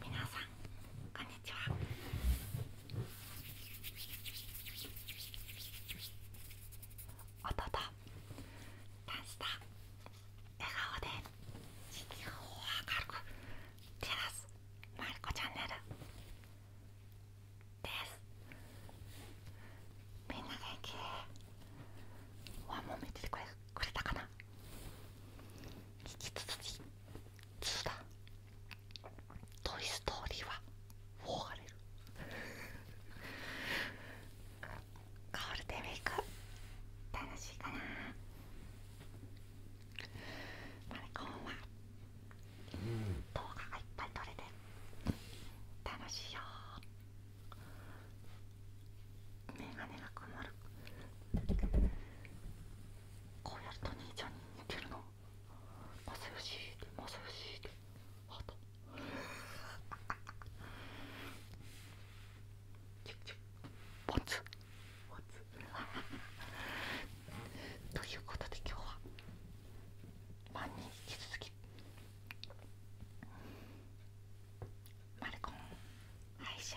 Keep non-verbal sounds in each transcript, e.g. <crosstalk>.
皆さんこんにちは音とダンス笑顔で地球を明るく照らすまるこチャンネルですみんな元気ワンモててくれるくれたかな引き続き2だ「トイ・ストーリー」は4がるゴールデンウク楽しいかなマリコンは動画がいっぱい撮れて楽しいよ眼鏡が曇るこうやると兄ちゃんに似てるのマサヨシーってマサヨシーってハートチュ <laughs> ということで今日は万人引き続きマルコン歯医者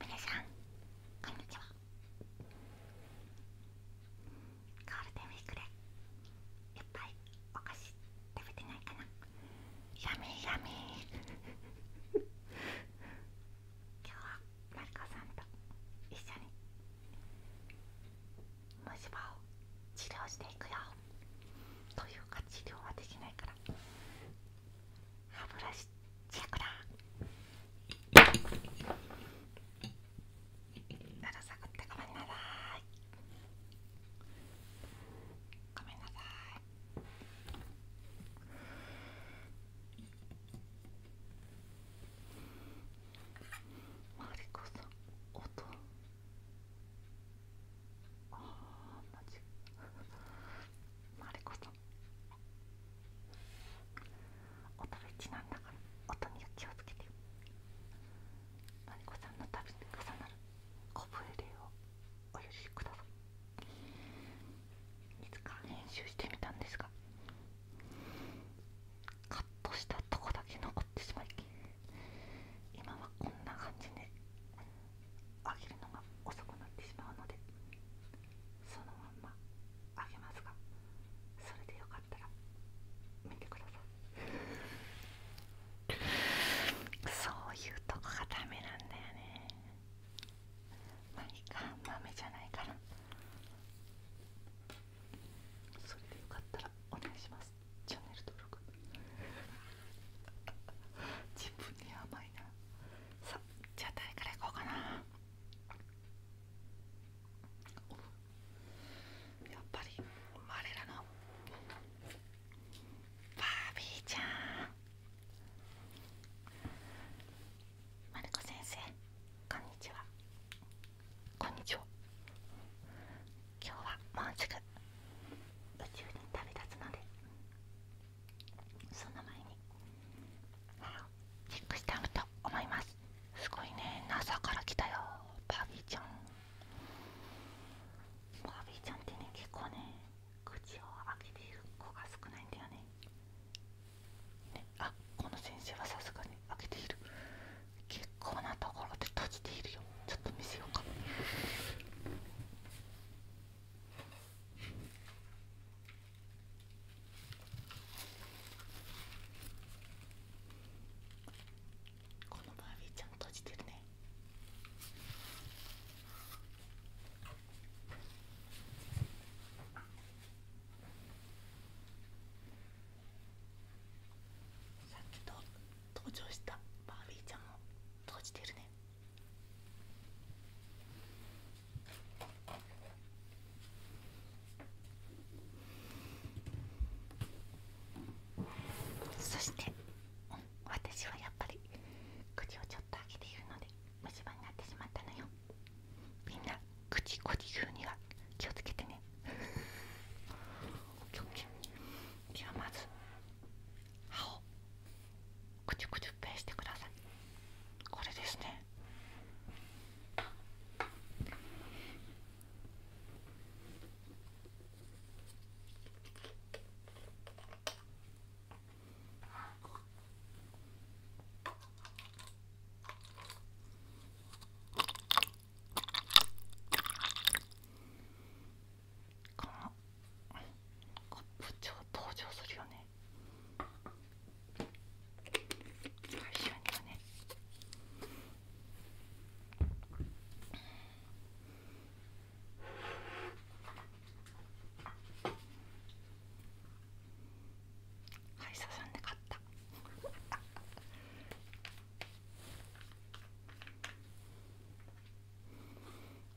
みなさんこんにちはゴールデンウィークでいっぱいお菓子食べてないかなやめやめ今日はマリコさんと一緒に虫歯を治療していくよというか治療はできないから歯ブラシチェッだならさくってごめんなさいごめんなさいまる我こそ音ああ、マジマリコさん音が一ちだから音には気をつけてマリコさんの旅に重なるコブエをお許しくださいいつか編集してみたんですがカットしたとこだけ残ってしまい今はこんな感じで揚げるのが遅くなってしまうのでそのまんま揚げますがそれでよかったら見てくださいそういうとこがダメなんだよねまあいいか豆じゃないかな。それでよかったらお願いしますチャンネル登録自分に甘いなさじゃあ誰からいこうかなやっぱり我らのバービーちゃんマルコ先生こんにちはこんにちは今日はもうすぐ宇宙に旅立つのでその前にチェックしてあげと思いますすごいね NASA から来たよバービーちゃんバービーちゃんってね結構ね口を開けている子が少ないんだよねねあこの先生はさすがに開けている結構なところで閉じているよちょっと見せようか。このバービーちゃん閉じてるね。さっきと登場したバービーちゃんも閉じてるねそして、うん、私はやっぱり口をちょっと開けているので虫歯になってしまったのよみんな口こじ言うには気をつけてね <laughs> じゃあまず歯をくちゅくちゅっぺしてくださいこれですねこのカップ超登場するよね最終にはねはいささんで買った。<laughs>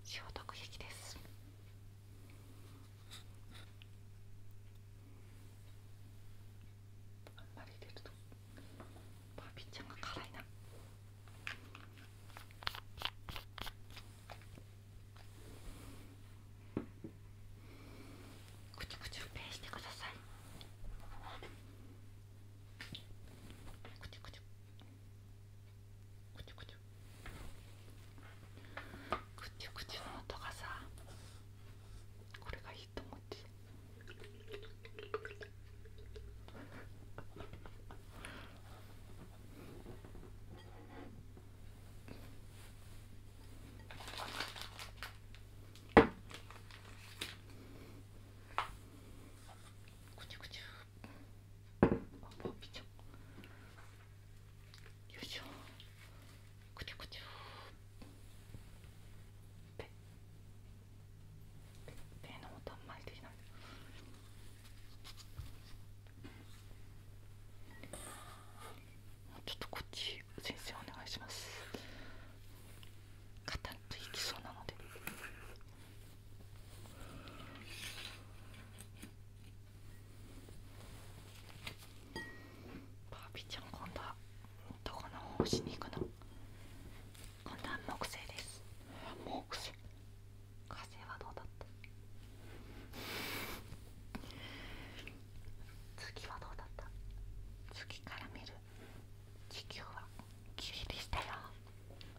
消毒液ですあんまり入れるとバービーちゃんが辛いなくちゅくちゅペーしてくださいくちゅくちゅくちゅくちゅくちゅくちゅの音がさこれがいいと思ってくちゅくちゅあピチョよいしょくちょくちょペペの音んまりできないもうちょっとこっち先生お願いします。カタンといきそうなのでバービーちゃん今度はどこの方をしに行くの今度は木星です木星火星はどうだった次はどうだった次から見る地球は綺麗でしたよ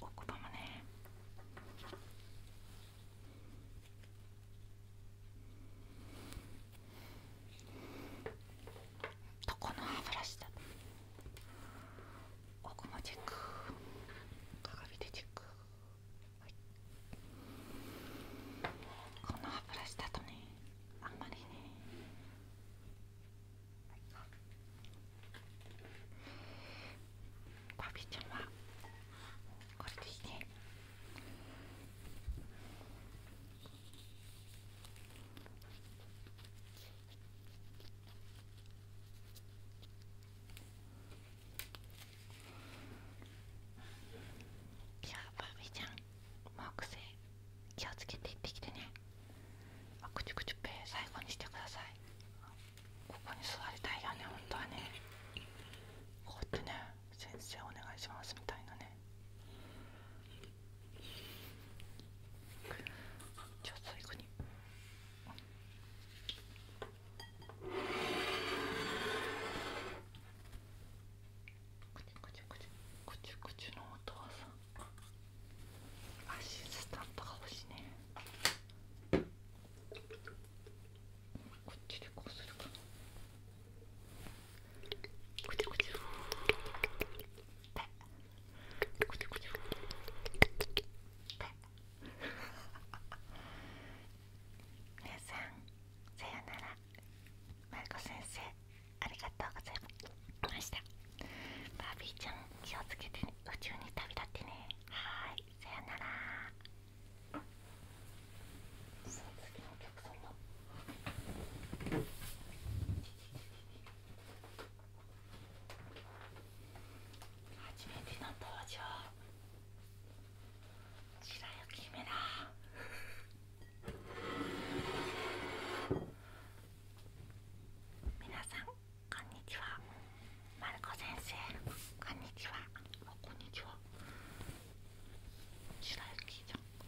奥歯もねとこの歯ブラシだおこもチェック鏡でチェック、この歯ブラシだとねあんまりねパピちゃんはこれでいいねじゃあバーちゃんもう癖気をつけて行ってきてねあくちゅくちゅぺ最後にしてくださいここに座りたいよね本当はねこうやってね先生お願いしますみたいなねじゃあ最後にこちゅこちゅこちゅこちゅこちゅのお父さんアシスタントが欲しいねこっちでこうするかなこちちこちち皆さんさよならまる先生ありがとうございましたバービーちゃん気をつけて、ね、宇宙に旅立ってねはいさよなら初めての登場白雪姫だ皆さんこんにちはまるこ先生こんにちはこんにちは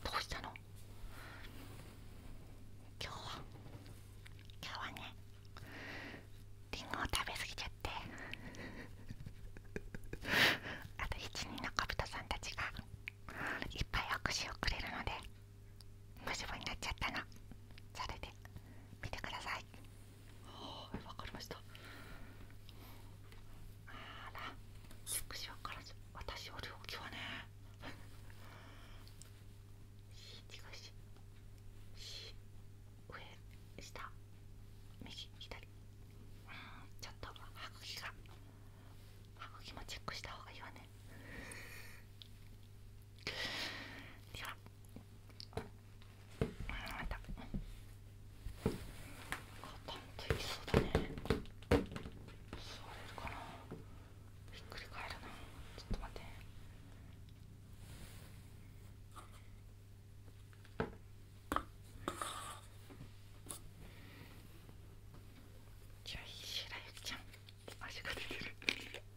どうしたの今日は今日はねりんごを食べ過ぎちゃって <laughs> あと一人の小人さんたちがいっぱい握手をくれるので虫歯になっちゃったな。それで見てくださいあ、いわかりましたあら少しわからず私お料金はねし違うしし上下右左うんちょっと歯茎が歯茎もチェックした方がいいわねではまたガタンといきそうだね座れるかなひっくり返るなちょっと待ってじゃあ白雪ちゃん足が出てる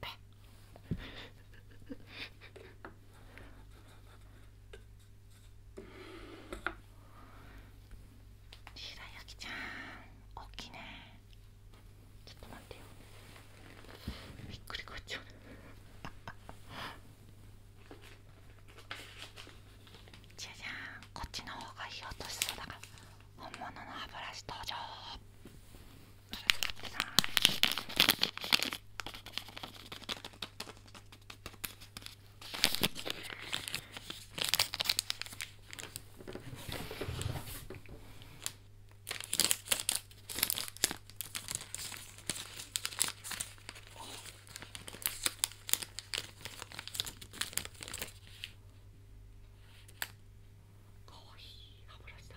白雪ちゃん大きいねちょっと待ってよびっくりこっちゃうじゃじゃんこっちの方がいい音しそうだから本物の歯ブラシ登場こかわいい歯ブラだ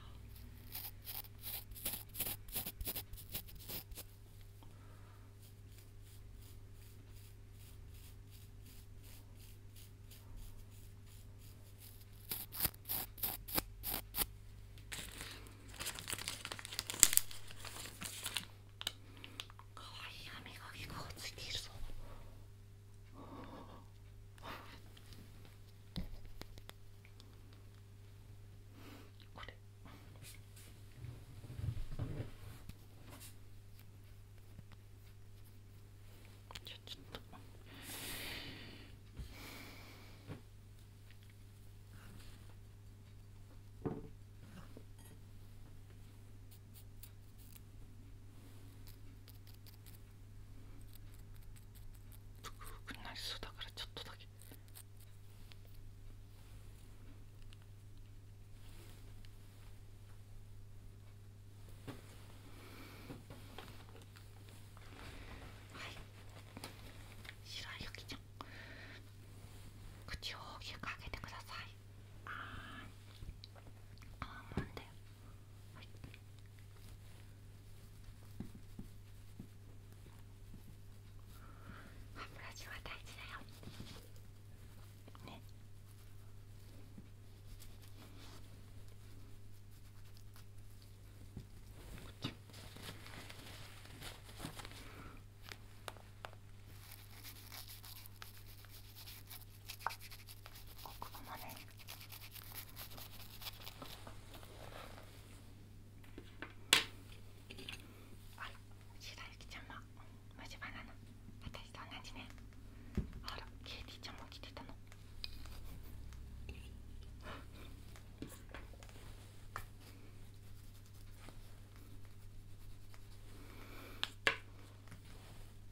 かわいい歯がつるこれっぷくふくになりそうだからちょっとだけ。はい白いゆきちゃん口を大きく開けてくださいあーあーもんだよはい、歯ブラシは大事だよねっここまで。あら白雪ちゃんはも虫歯なの私と同じねあらケイティちゃんも来てたのあ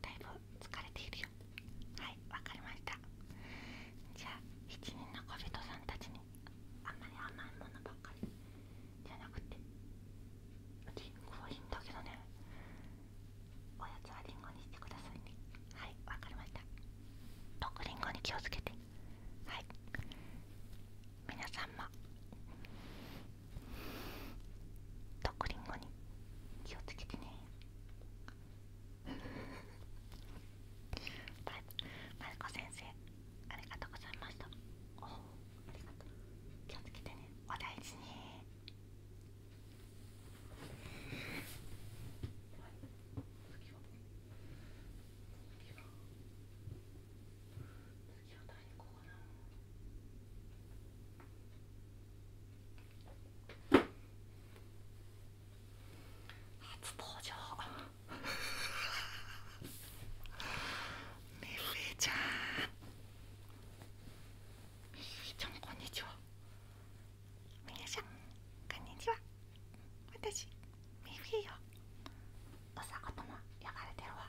だいぶ疲れているよはいわかりましたじゃあ7人の小人さんたちにあんまり甘いものばっかりじゃなくてリンゴはいいんだけどねおやつはリンゴにしてくださいねはいわかりました毒リンゴに気をつけてはい皆さんもとくりんごに気をつけてねままるこ先生ありがとうございましたおおありがとう気をつけてねお大事に次は誰こうか初登場ミッ <laughs> ちゃんミッちゃんこんにちはちゃんこんにちは私ミッフィーよお魚やがれてるわ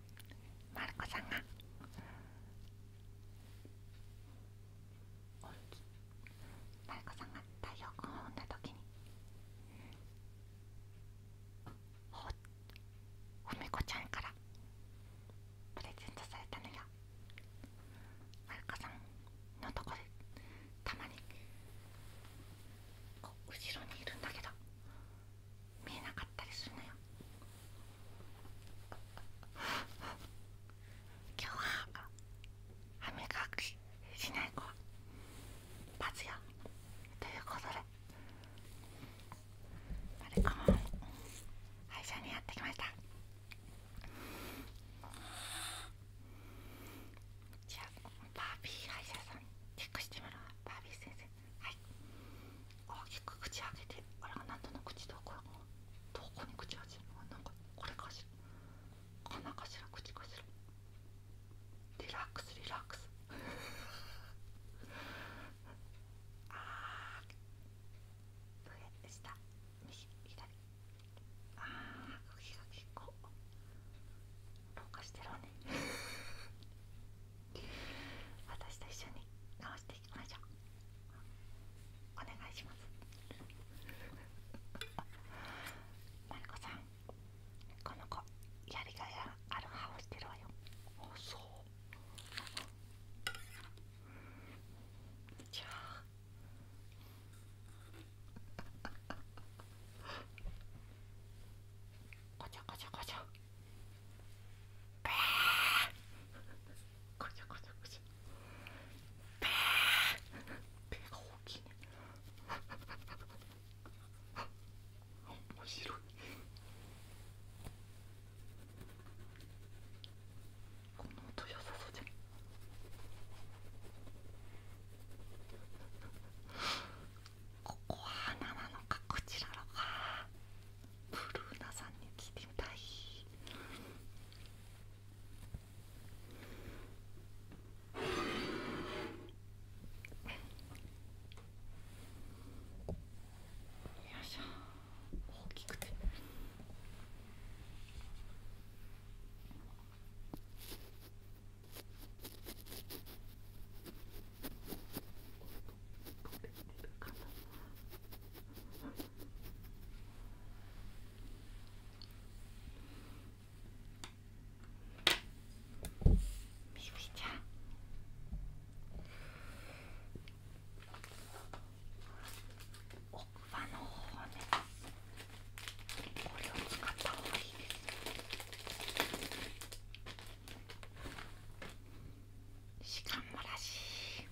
マルコさんがマルコさんが太陽光を産んだ時にほふみこちゃんからプレゼントされたのよマルコさんのとこでたまに後ろにいるんだけど見えなかったりするのよ今日は歯磨きしない子はバよということでマリコも歯医者にやってきましたじゃあバービー歯医者さんチェックしてみろ、バービー先生はい大きく口開けてあれあなたの口どこどこに口開けるのなんかこれかしら鼻かしら口かしらリラックスリラックス <laughs> ああ。上下右左ああ茎が結構廊下してるね私と一緒に直していきましょうお願いしますマリコさんこの子やりがいある歯をしてるわよおお、そうじゃあこちょこちょこちょこちゃこちゃこちゃペーペーが大きいね面白いこの音良さそうじゃんここは花なのかこちらのかブルーナさんに聞いてみたいよいしょ大きくて。よ奥歯の方これを使った方がいいです。しかもらし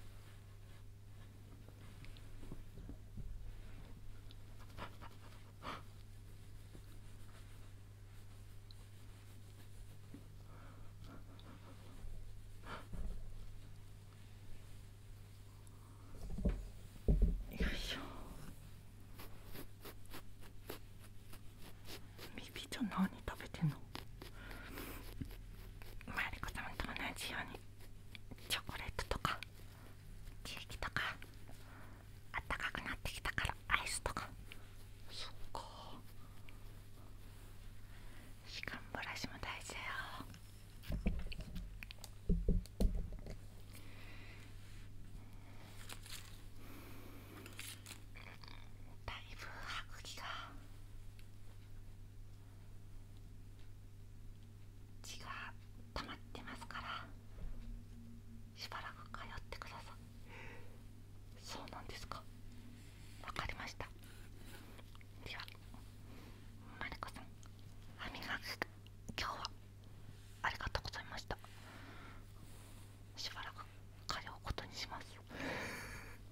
いよいしょ耳じゃ何食べてんのマリコさんと同じようにチョコレートとかケーキとかあったかくなってきたからアイスとかそっか歯間ブラシも大事だよだいぶ歯茎が血が溜まってますからしばらく通ってくださいそうなんですかわかりましたではマリコさん歯磨き今日はありがとうございましたしばらく通うことにします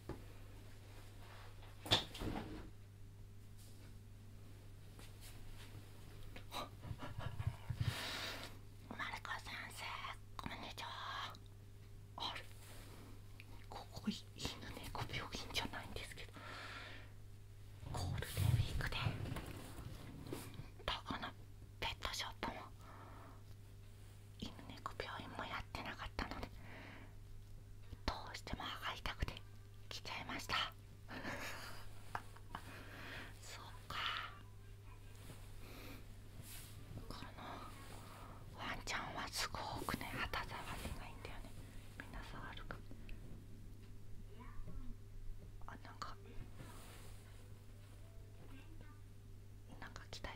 マルコ先生こんにちはあれここ犬猫病院じゃないんですけどゴールデンウィークでたかなペットショップも犬猫病院もやってなかったのでどうしても歯が痛くて来ちゃいました <laughs> そうかこのワンちゃんはすごくね肌触りがいいんだよねみんな触るかあなんかなんか来たよ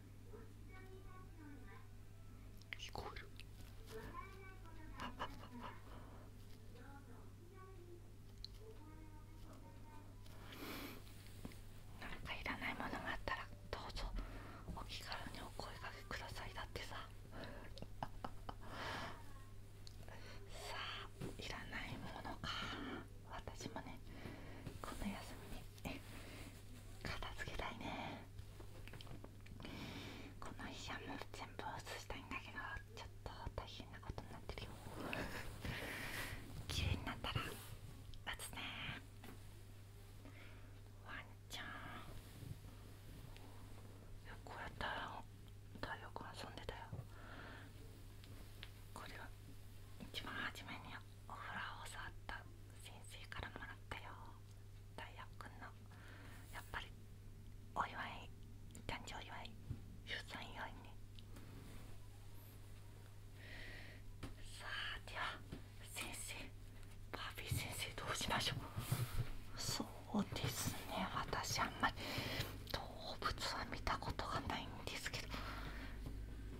聞こえる <laughs> なんかいらないものがあったらどうぞお気軽にお声かけくださいだってさ <laughs> さあいらないものか私もねこの休みに片付けたいねこの医者も全部移したいんだけどちょっと大変なことになってるよ綺麗になったら移すねワンちゃんこうやったら太陽君遊んでたよこれは一番初めにお風呂を触った先生からもらったよ大学のやっぱりお祝い誕生祝い出産祝いねさあでは先生バーィー先生どうしましょうそうですね私あんまり動物は見たことがないんですけど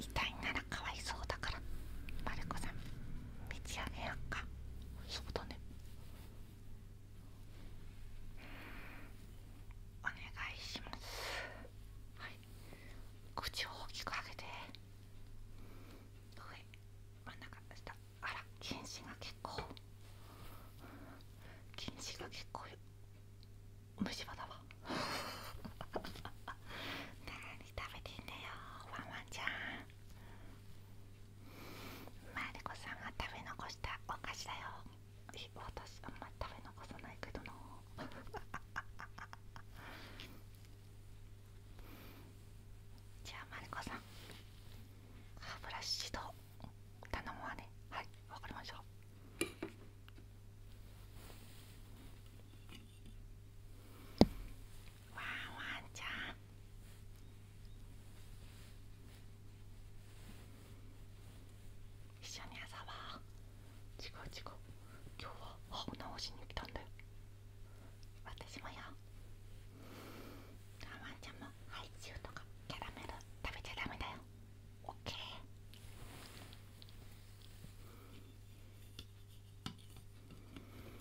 痛いならかわいそうだからまる子さん道上げようかそうだねお願いしますはい口を大きく開けて上真ん中下あら近視が結構近視が結構虫歯だわ <laughs> に食べてんだよワンワンちゃんマリコさんが食べ残したお菓子だよ私あんま食べ残さないけどな <laughs> じゃあマリコさん歯ブラシ指導頼むわねはいわかりましょたワンワンちゃん一緒に遊ぼう違う違う今日は歯を直しに来たんだよ私もよワンワンちゃんもハイチュウとかキャラメル食べちゃダメだよオッケーワン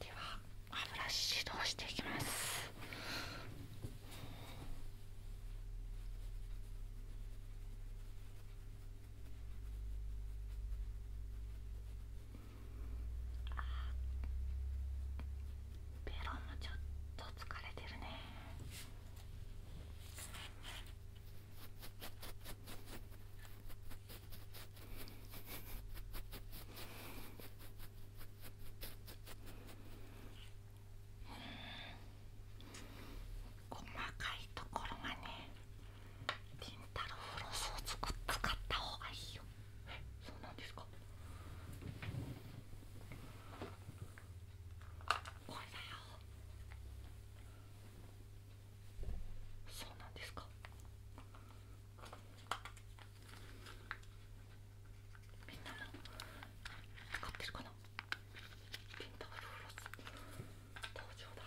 では歯ブラシ指導していきます。はいベロもちょっと疲れてるね細かいところがねりンタろーフロスを使ったほうがいいよえそうなんですかこれだよそうなんですかみんなも使ってるかなピンターローロス登場だ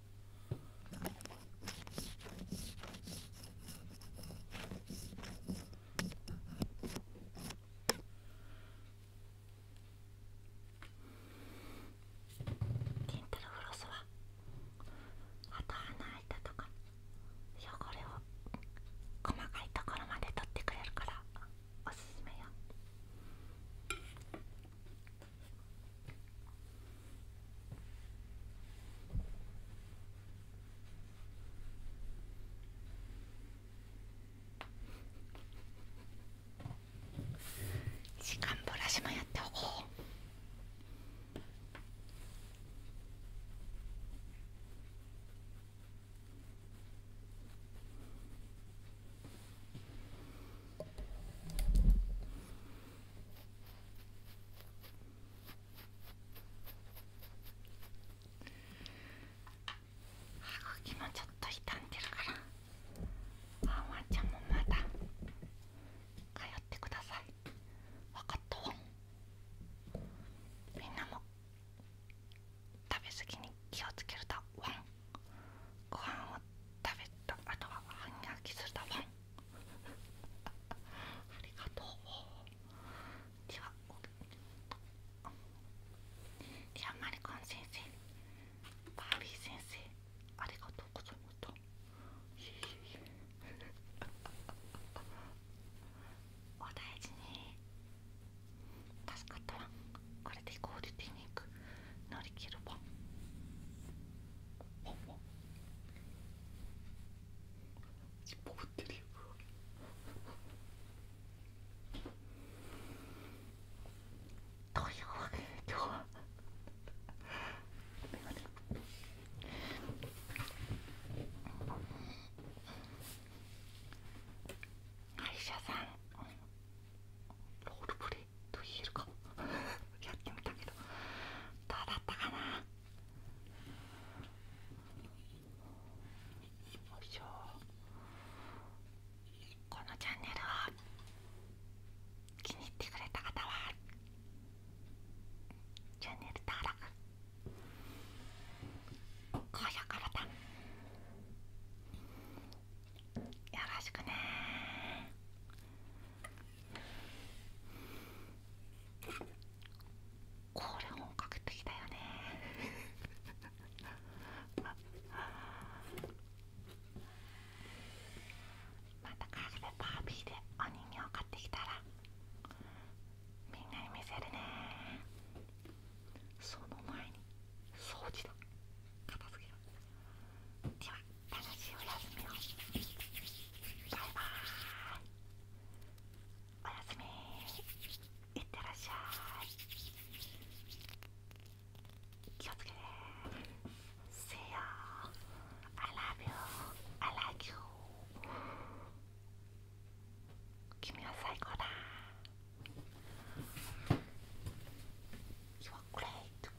ティントルフロスは歯と鼻あいたとか汚れを細かいところまで取ってくれるからおすすめよ。時間ブラシもやっておこう。は歯きもちょっと傷んでるからワンワンちゃんもまだ通ってください分かったわみんなも食べ過ぎに気をつけると、ワンご飯を食べたあとはんに飽きするだワンありがとうではではマリコン先生バービー先生ありがとうございましお大事に助かったわこれでゴールディー乗り切るわポンポンポブってるよというわけで今日は歯医者さんロールプレイと言えるかやってみたけどどうだったかないしょこのチャンネルを気に入ってくれた方はチャンネル登録高評価ボタンよろしくねこれ本格的だよね <laughs> またカフェパービーでお人形買ってきたらみんなに見せるねその前に掃除だ片付けろでは楽しいお休みをバイバーイおやすみいってらっしゃい気をつけて See ya I love you I like you 君は最高だ You are great